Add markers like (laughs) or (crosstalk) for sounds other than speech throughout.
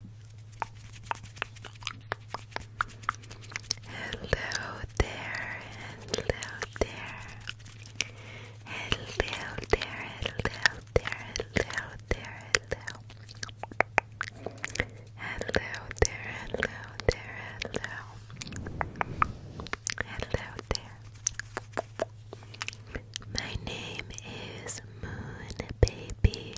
Hello there, hello there. Hello there, hello there, hello there, hello. Hello there, hello there, hello. My name is Moon Baby.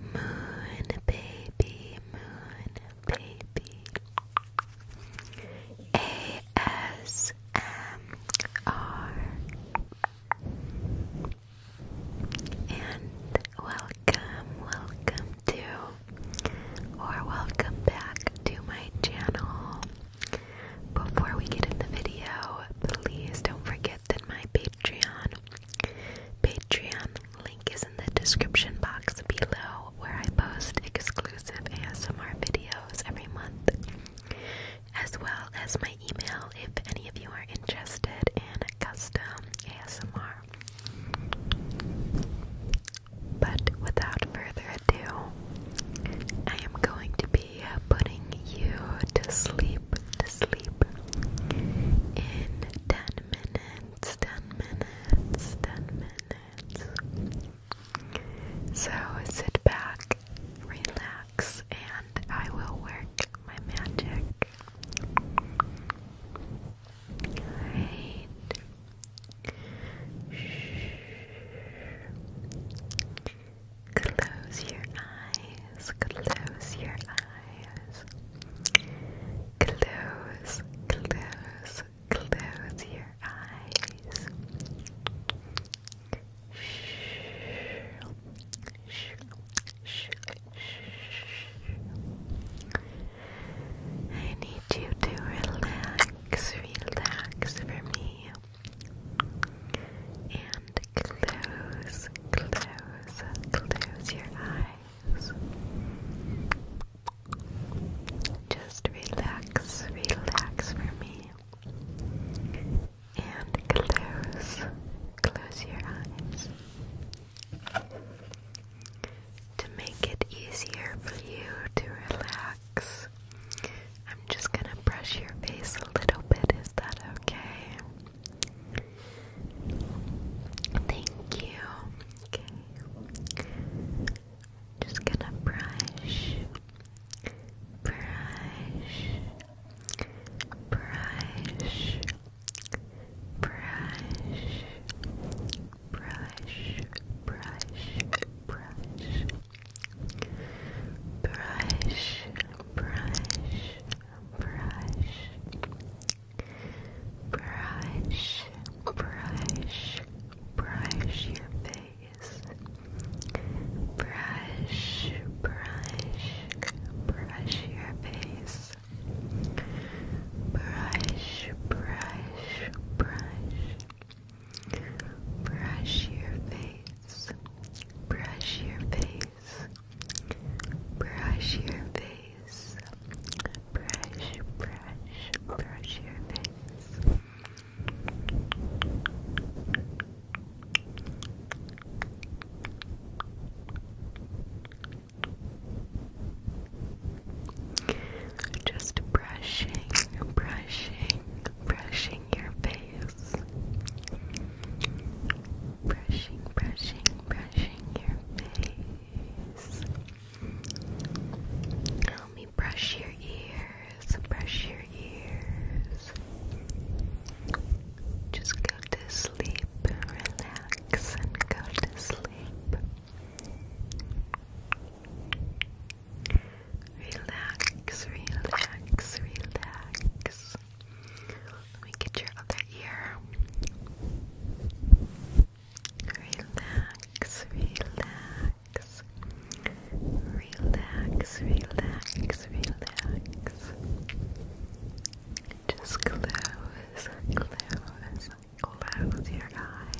Moon baby, moon baby. ASMR. And welcome, welcome to, or welcome back to my channel. Before we get in the video, please don't forget that my Patreon Patreon link is in the description box below where I post exclusive ASMR videos every month, as well as my email if any of you are interested in custom ASMR. But without further ado, I am going to be putting you to sleep to sleep in 10 minutes, 10 minutes, 10 minutes. So sit back, relax, and I will work my magic. Alright. Close your eyes, close your eyes. Close, close, close your eyes. I need you to relax, relax for me. And and close, close, close your eyes. Just relax, relax for me. And close, close your eyes. To make it easier for you to relax, I'm just gonna brush your face a little bit. Is that okay? Thank you. Okay. Just gonna brush, brush, brush, brush, brush, brush, brush. Brush, brush, brush, brush, brush, brush your face, brush, brush, brush your face, brush, brush, brush. Brush your face, brush your face, brush your face, brush, brush, brush your face. Just brushing, brushing, brushing your face brushing, brushing, brushing your face. Help me brush your ears, brush your ears. Just go to sleep, relax, and go to sleep. Relax, relax, relax. Let me get your other ear. Relax, relax. Relax, relax, relax. Just close, close, close your eyes.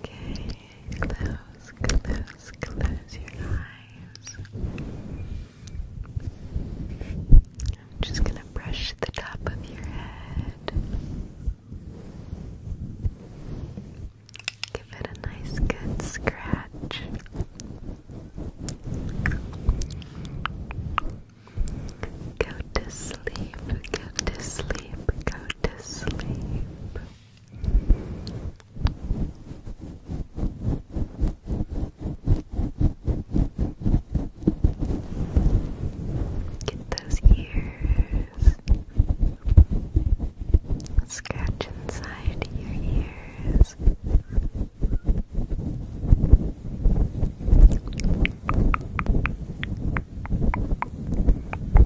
Okay, Close, close, close your eyes. I'm just going to brush the top of your head. Give it a nice good scratch. Go to sleep, go to sleep, go to sleep. Get those ears. Scratch inside your ears.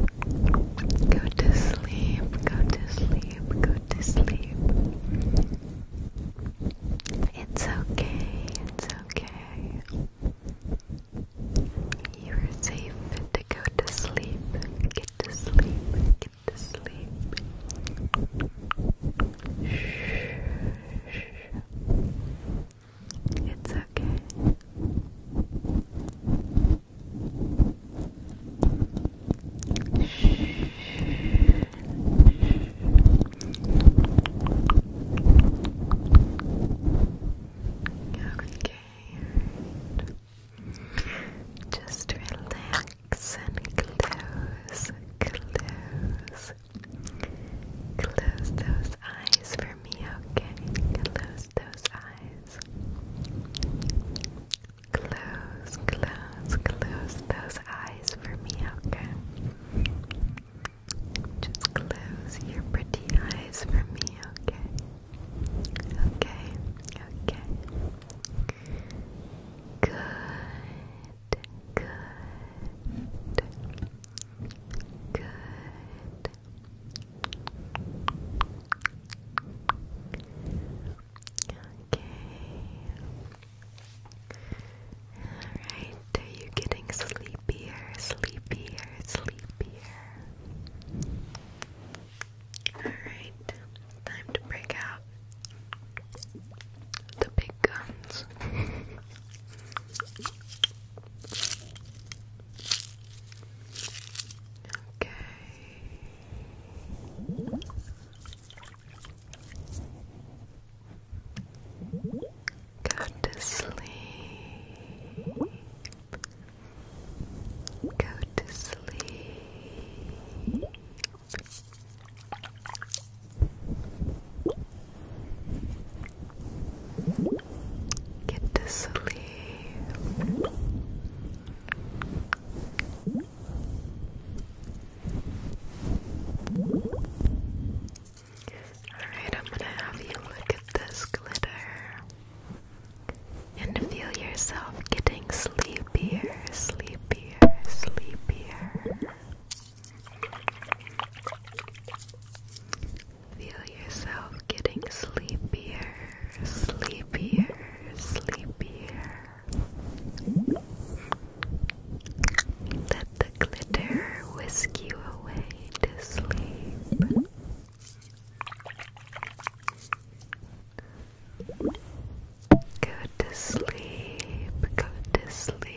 Go to sleep, go to sleep, go to sleep. It's okay, it's okay. You are safe to go to sleep. Get to sleep, get to sleep. Shh. It's okay. Just relax and close, close, close those eyes for me, okay? Close those eyes. Close, close, close those eyes for me, okay? Just close your pretty eyes for me, okay? Okay, okay. Good, good, good. Okay. Alright, are you getting sleepier, sleepier, sleepier? Alright, time to break out the big guns. (laughs) Okay. Go to sleep. Go to sleep. Get to sleep. Alright, I'm gonna have you look at this glitter and feel yourself getting sleepier, sleepier, sleepier. Feel yourself getting sleepier, sleepier, sleepier. Let the glitter whisk you away to sleep. Go to sleep, go to sleep.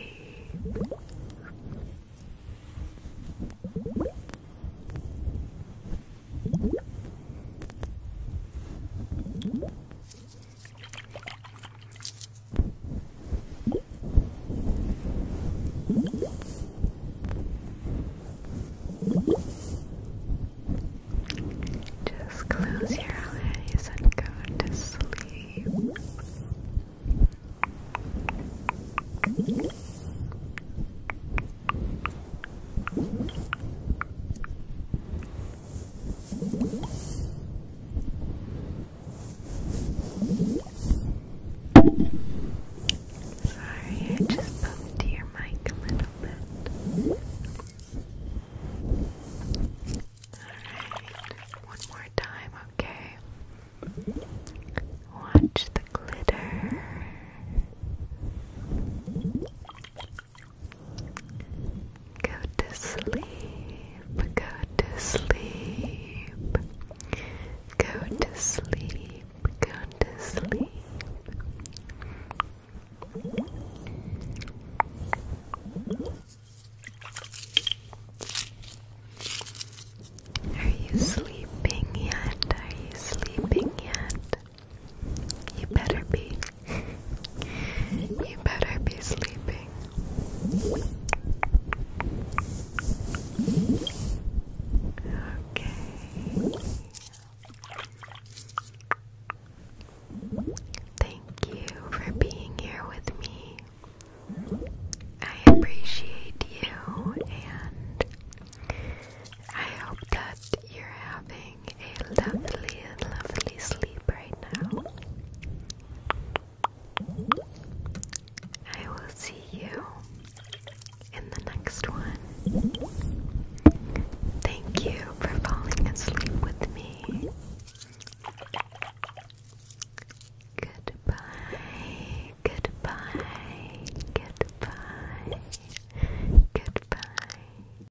Just close your eyes and go to sleep. Sorry, I just bumped your mic a little bit. Alright, one more time, okay? Watch the glitter. Go to sleep, go to sleep, go to sleep, go to sleep. Are you sleeping yet? Are you sleeping yet? You better be. you better be sleeping. Okay. Thank you for being here with me. I appreciate you, and I hope that you're having a lovely, lovely sleep right now. I will see you in the next one. Thank you for falling asleep with me. Goodbye, goodbye, goodbye, goodbye.